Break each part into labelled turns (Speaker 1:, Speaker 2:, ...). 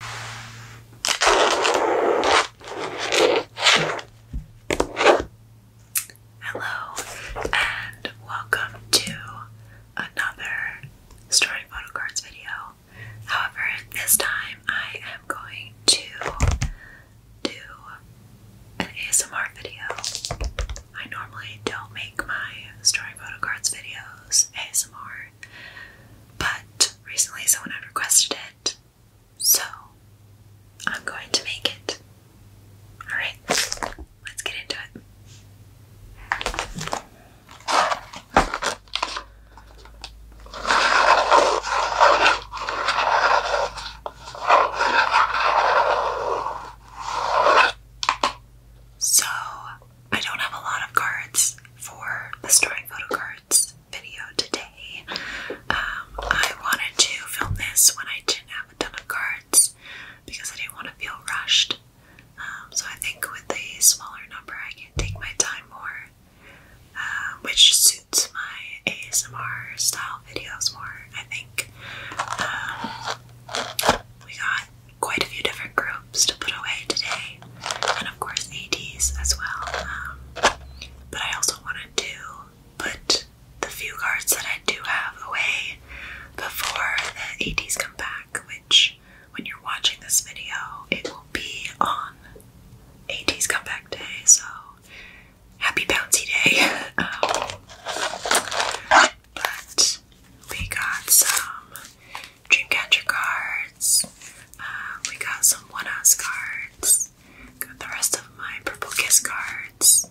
Speaker 1: Hello and welcome to another story photo cards video. However, this time I am going to do an ASMR video. I normally don't make my story photo cards videos ASMR but recently someone had requested it, so I'm going to make it. Alright, let's get into it. So, I don't have a lot of cards for the storing photo cards video today. Um, I wanted to film this when I didn't have a ton of cards because I didn't want to feel rushed. Um, so I think with a smaller number, I can take my time more, uh, which suits my ASMR style videos more. I think um, we got quite a few different groups to put away today, and of course ADs as well. Um, but I also wanted to put the few cards that I do have away before the ADs come back, which when you're watching this video, it will be on AD's comeback day, so happy bouncy day. Um, but we got some Dreamcatcher cards. Uh, we got some One Us cards. Got the rest of my Purple Kiss cards.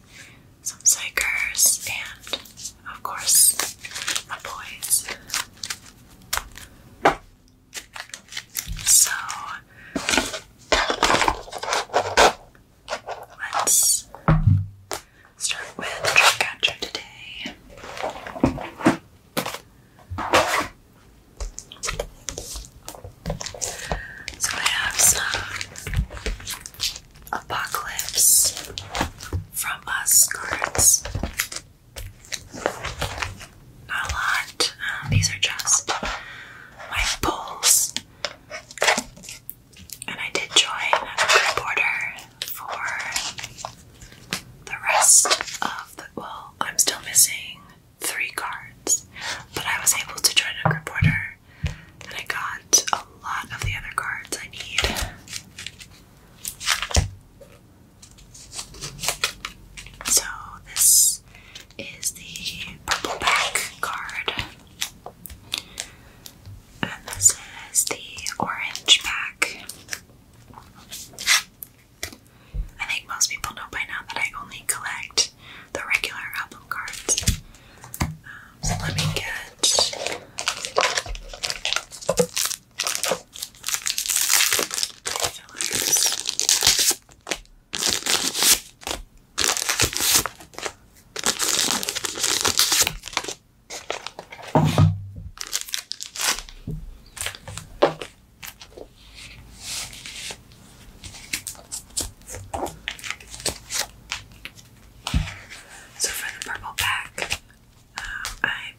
Speaker 1: Some Psychers. And, of course, my boys. So, let's start with Dreamcatcher today. So I have some Apocalypse from Us cards. Not a lot. Um, these are just my pulls. And I did join a group for the rest of the well, I'm still missing three cards, but I was able to join a group order and I got a lot of the other cards I need. So this is the purple back card. And this is the orange back. I think most people know by now that I only collect the regular album cards. Um, so let me get. So for the purple pack, um, I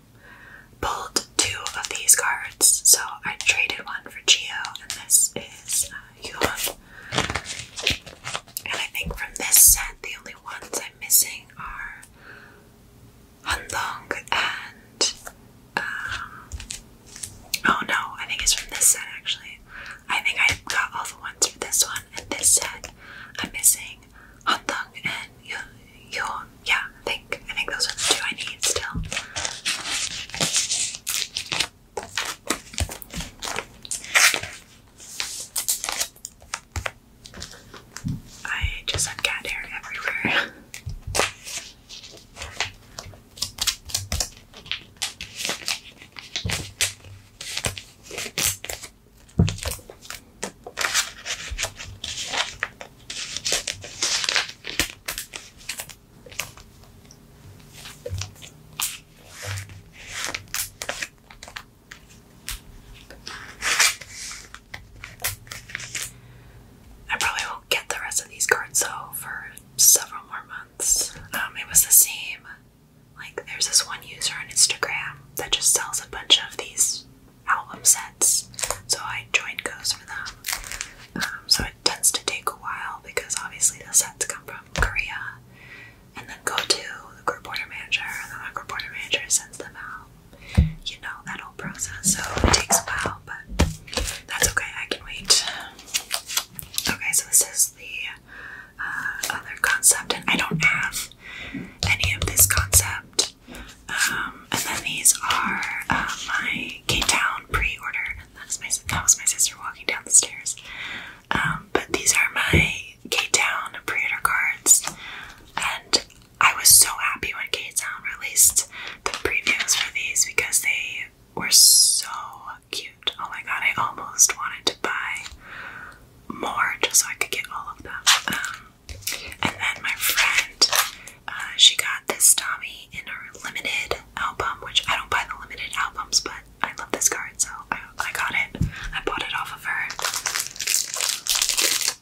Speaker 1: pulled two of these cards. So I traded one for Geo, and this is uh, And I think from this set, the only ones I'm missing are Hunlong and um, oh no, I think it's from this set actually. I think I got all the ones for this one and this set. I'm missing Hunlong and Yo Yoon. Yeah, I think I think those are the two I need still. I just have cat hair everywhere. I probably won't get the rest of these cards though for several more months. Um, it was the same. Like, there's this one user on Instagram that just sells a bunch of these album sets, so I joined goes for them. Um, so it tends to take a while because obviously the sets come from Korea, and then go to the group order manager, and then the group order manager sends them out you know, that whole process. So it takes a while, but that's okay. I can wait. Okay, so this is the uh, other concept, and I don't have any of this concept. Um, and then these are uh, my Cape Town pre-order. That's my that was my sister walking down the stairs. Um, but these are my K Town pre-order cards, and I was so happy when K Town released the previews for these because they were so cute. Oh my god, I almost wanted to buy more just so I could get all of them. Um, and then my friend, uh, she got this Tommy in her limited album, which I don't buy the limited albums, but I love this card, so I got it. I bought it off of her.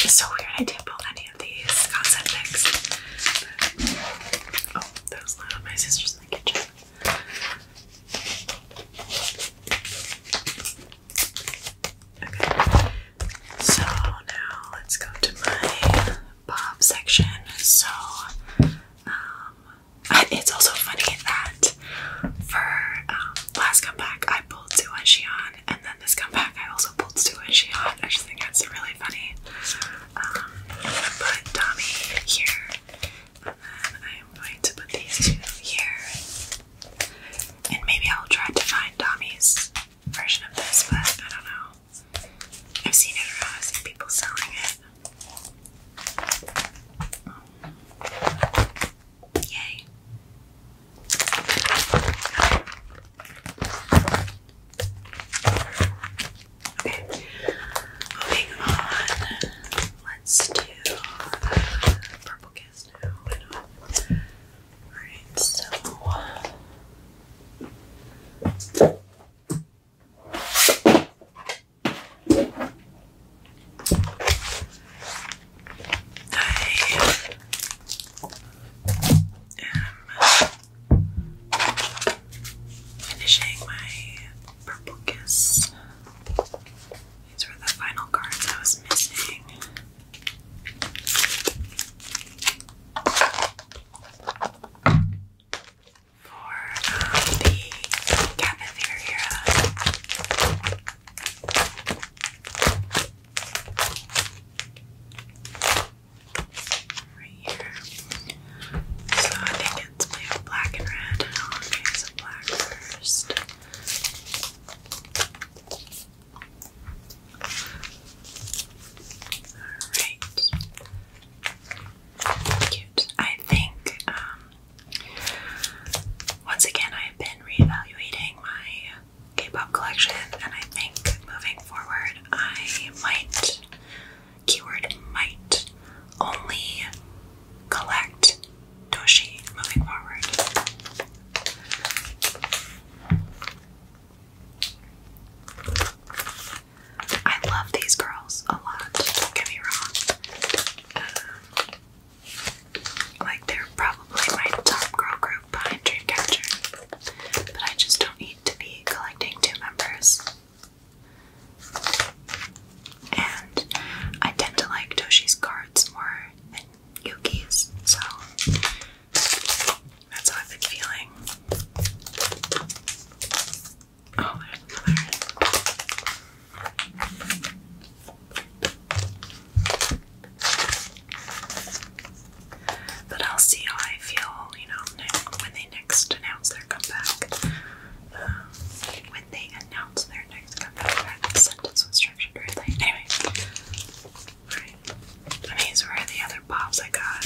Speaker 1: It's so weird I didn't pull any of these concept picks. oh, that was My sister's in the kitchen. Okay. So now let's go to my Bob section. So um, it's also funny that for um, last comeback I pulled two and Shion, and then this comeback I also pulled two and Shion. I just think that's really funny. Um, I put Tommy here, and then I'm going to put these two here, and maybe I'll try to find Tommy's version of this, but I don't know. I've seen it around, I've seen people selling it. Yay. Okay, moving on. Let's do Purple Kiss now. Alright, so finishing my purple kiss. These were the final cards I was missing for the cafeteria. Right here. So I think it's made of black, and red. I'll make some black first. Alright. Cute. I think, um, once again, I've been reevaluating my K pop collection, and I think moving forward, I might, keyword might, only collect doshi moving forward. I love these girls a lot, don't get me wrong. Um, like, they're probably my top girl group behind Dreamcatcher, but I just don't need to be collecting two members. And I tend to like Toshi's cards more than Yuki's, so that's how I've feeling. Oh, there's another. But I'll see how I feel, you know, when they next announce their comeback. Um, when they announce their next comeback, sentence was structured weirdly. Anyway, and these were the other pops I got.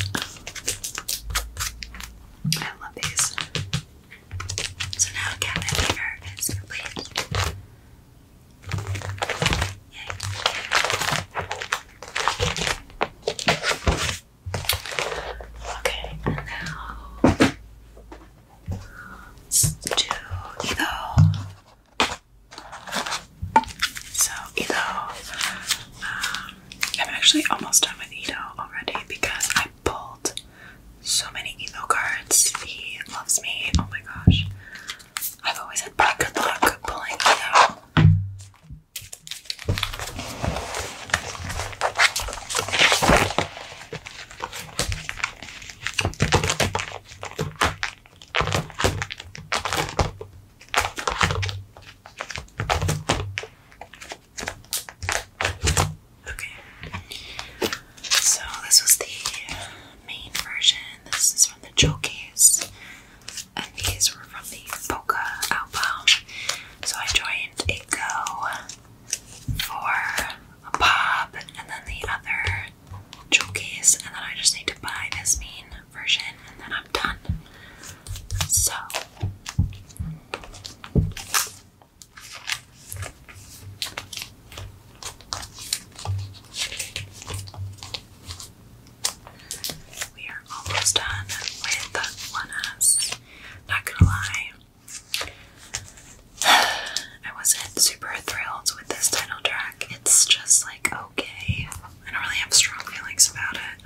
Speaker 1: I love these. So now cabinet paper complete. Okay, and now let's do so Edo, um, I'm actually almost done with Edo already because I pulled so many Edo cards. He loves me. Oh my gosh. I've always had bad good luck pulling Edo. Okay. So this was the main version. This is from the showcase. And these were from the Polka album. So I joined a for a pop and then the other showcase. And then I just need to buy this mean version and then I'm done. So we are almost done with one S. Not gonna lie, I wasn't super thrilled with this title track. It's just like okay. I don't really have strong feelings about it.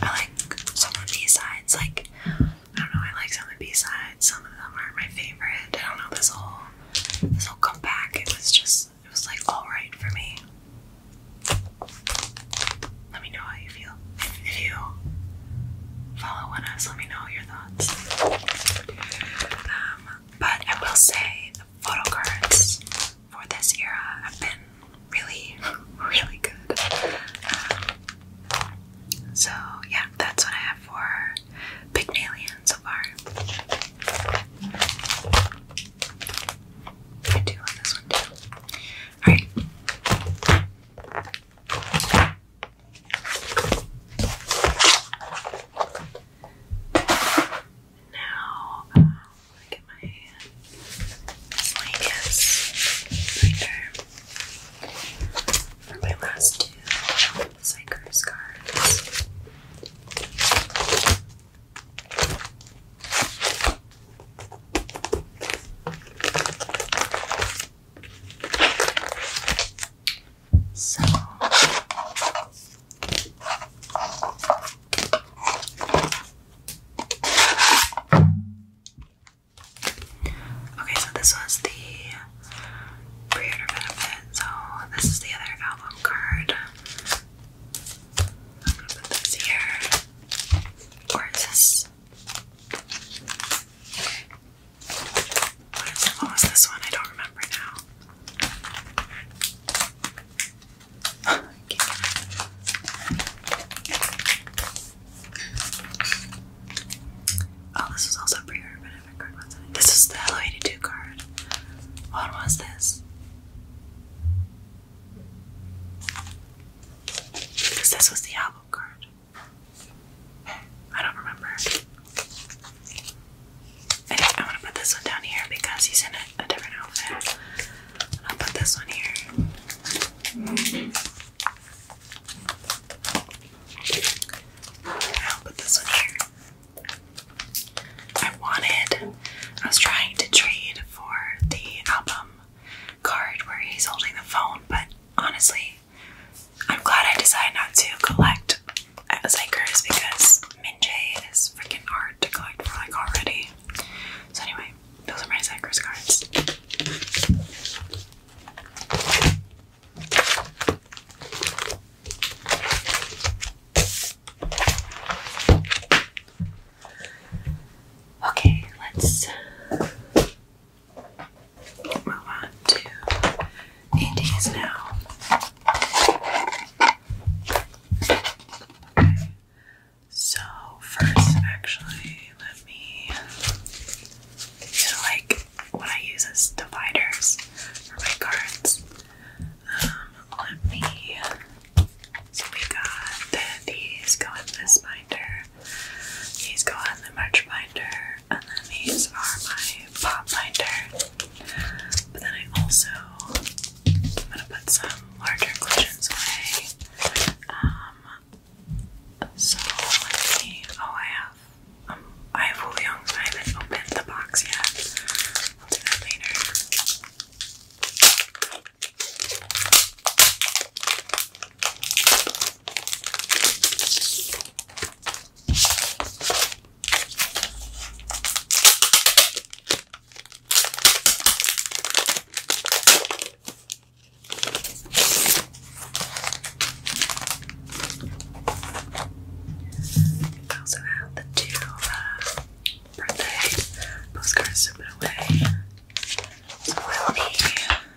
Speaker 1: I like some of the B-sides, like, I don't know, I like some of the B-sides, some of them aren't my favorite, I don't know, this whole, this whole comeback, it was just, it was like alright for me. Let me know how you feel. If, you follow us, let me know your um, but I will say the photo cards for this era have been really, really good. Um, so yeah, that's what I have for Pygmalion so far. I do love this one too. Alright. Now, I'm gonna get my miscellaneous binder for my last two Psychers cards. Okay, so this was the pre-order benefit. So this is the other album card. I'm put this here. Or this? What was this one? I don't remember now. Oh, this was also pre-order This is the Hello 82 card. What was this? Because this was the album card. I don't remember. I am gonna put this one down here because he's in a, different outfit. I'll put this one here. I'll put this one here. I wanted, I was trying to trade for the album card where he's holding the phone, but honestly, I'm glad I decided not to collect Psychers because Minjay is freaking hard to collect for like already. So anyway, those are my Psychers cards. Okay, let's move on to EDs now. Okay. So first, actually, let me. So like what I use as dividers for my cards. Um, let me. So we got these going in this binder. These go in the March binder. And then these are my pop binder. But then I also I'm gonna put some larger cushions away. Um, so let's Oh I have um I have Woolyongs, I opened the box yet. I'll do that later. I also have the two uh, birthday postcards to put away. will need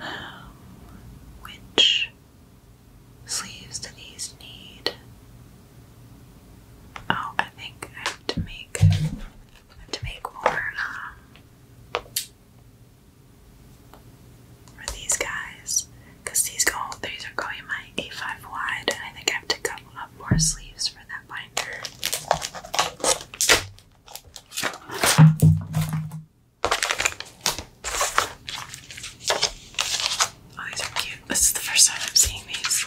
Speaker 1: Um, which sleeves do these need? Oh, I think I have to make I have to make more um, for these guys because these go these are going my A5 wide I think I have to couple up more sleeves for that binder. Oh, these are cute. This is the first time I'm seeing these.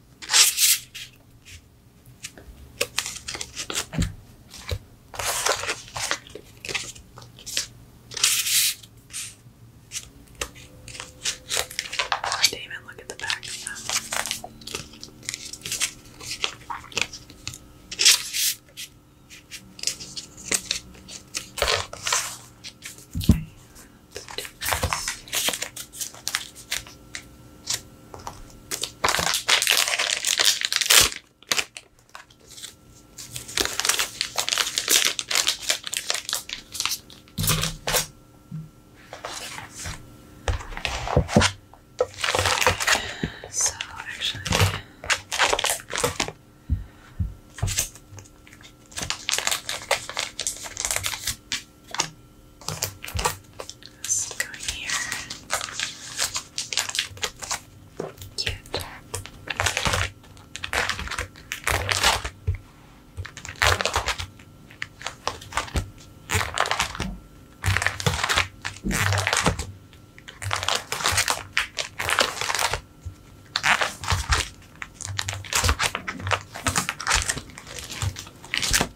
Speaker 1: I didn't even look at the back of them. Okay, Let's do this. So actually Let's go here. Cute. Cute. Okay.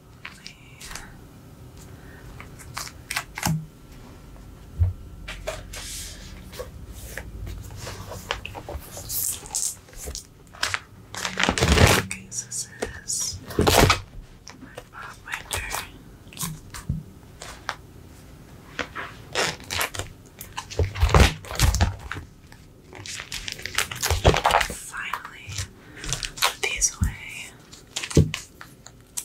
Speaker 1: Okay, so this is my Bob Winter. Finally, put these away.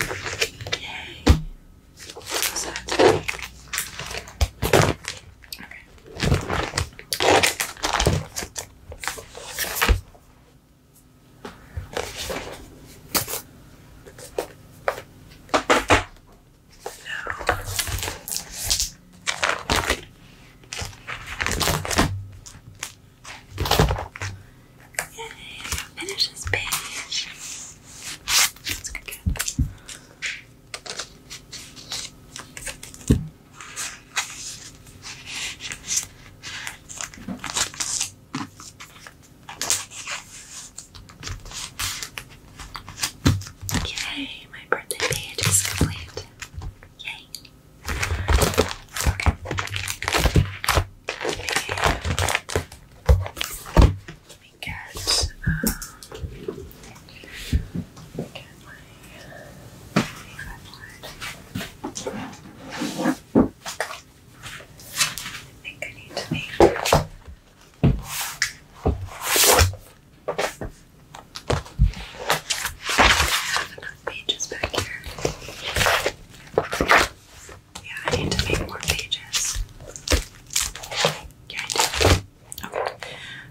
Speaker 1: Yay! What's that? Okay. Now, Yay, finish this page. That's good. Yay, my birthday page is complete. Yay. Okay me, let me get, um, get my, uh, I think I need to make I have enough pages back here. Yeah, I need to make more pages. Okay.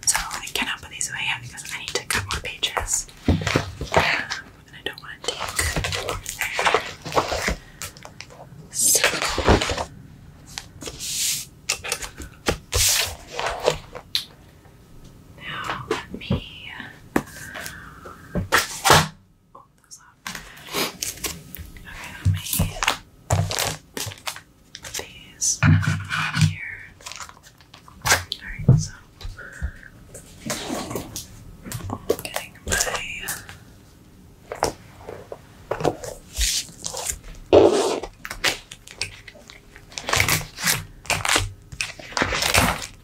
Speaker 1: So I cannot put these away yet because I need to cut more pages. and I don't want to take there. So now let me Oh, that was Okay, I made these here. Alright, so getting my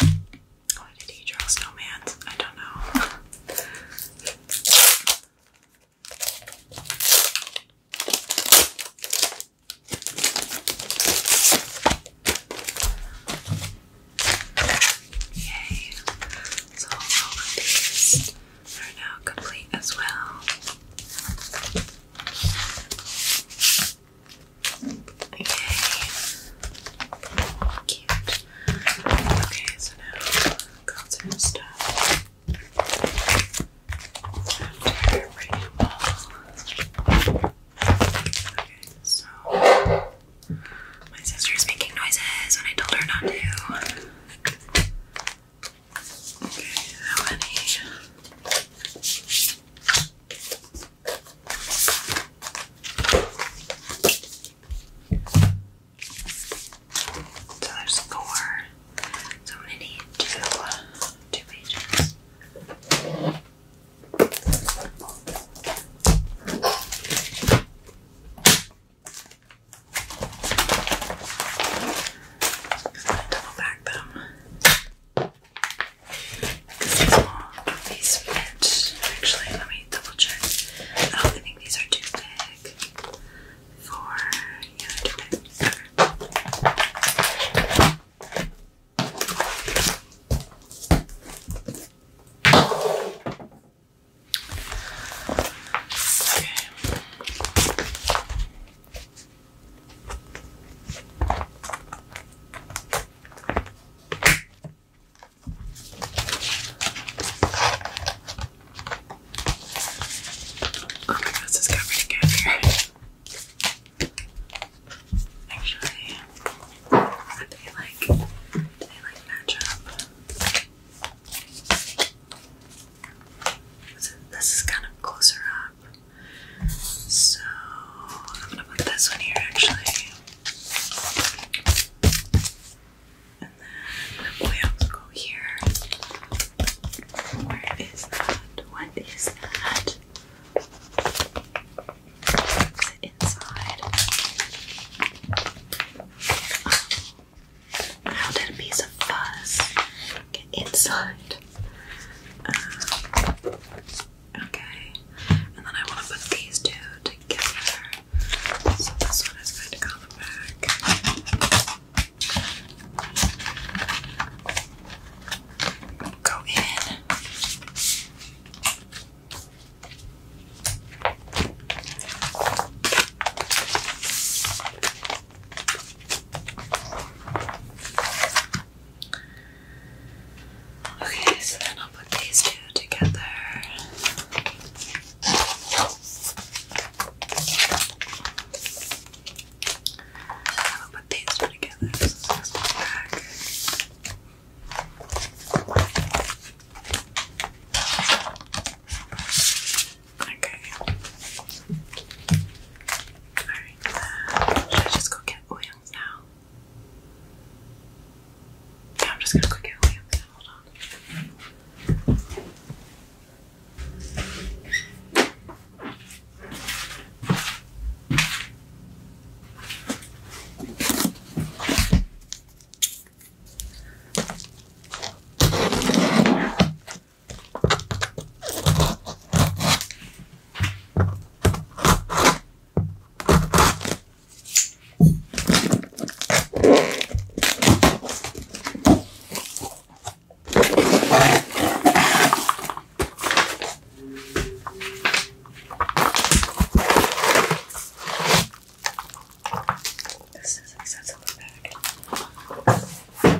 Speaker 1: Why did he draw snowman? I don't know. Yay! So all of these are now complete as well. Okay. Cute. Okay, so now got some stuff. Okay, so my sister's making noises when I told her not to. Okay, how many? So there's four. So I'm gonna need two, two pages. i gonna double back them. Because these are these fit. Actually, let me double check. Oh, I think these are too big for yeah, they Okay. Oh my gosh, it's covered again here. Actually, they like, they like match up. This is kind of closer up. So I'm gonna put this one here actually. And then we also go here. Where is that? What is that? Is inside? Oh. How did a piece of fuzz get inside? Uh, okay, and then I want to put these two together. So this one is going to come back. Go in. Okay, so then I'll put these two together. I'll put these two together. So this back. Okay. Uh, Should I just go get Williams now? Yeah, I'm just gonna go get Williams Hold on. This is like a little bag.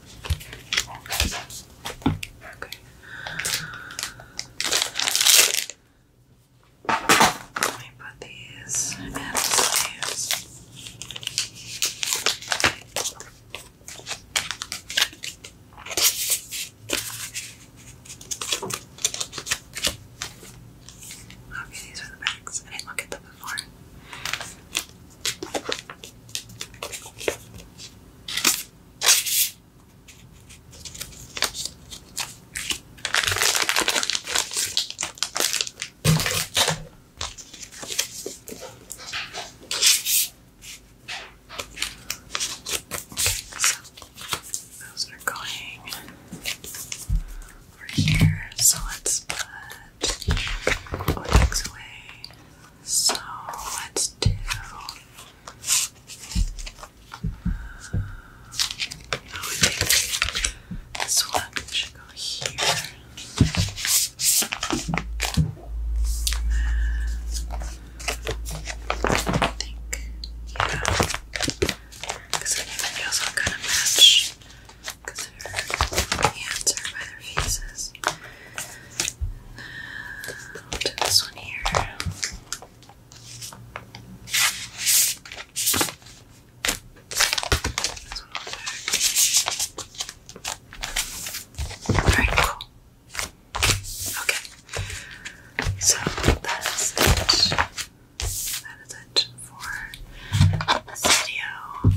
Speaker 1: Okay. Let me put these in the stands. Okay, these are the bags. I didn't look at them before. So those are going over here. So let's put so let's do. Uh, I go here. I think, yeah, because I think the all kind of match because by their faces. i this one here. This cool. Okay. So that is it. That is it for this video.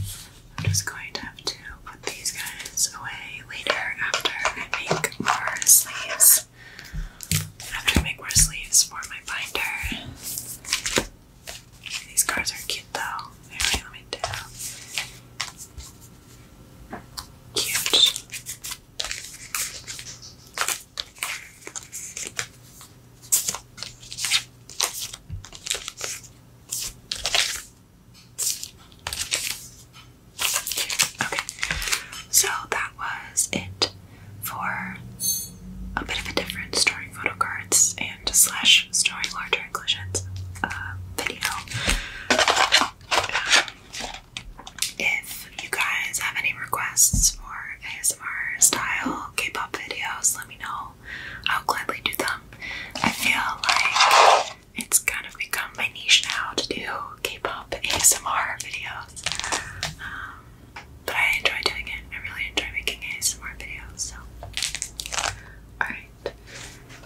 Speaker 1: I'm just going to have to put these guys away later after I make more sleeves. After I make more sleeves for my binder. These cards are cute though. Anyway, let me do. Cute. Okay, so that was it for a bit of a different storing photo cards and slash storing larger inclusions uh, video. If you guys have any requests for ASMR style K-pop videos, let me know. I'll, gladly do them. I feel like it's kind of become my niche now to do K-pop ASMR videos. Um, but I enjoy doing it. I really enjoy making ASMR videos. So, alright.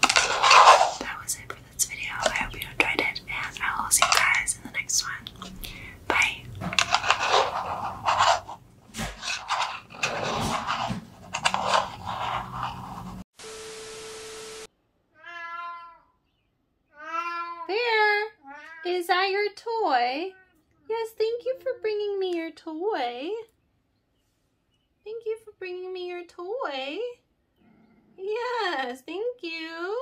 Speaker 1: That was it for this video. I hope you enjoyed it, and I will see you guys in the next one. Bye. There! Is that your toy? Yes, thank you for bringing me your toy. Thank you for bringing me your toy. Yes, thank you.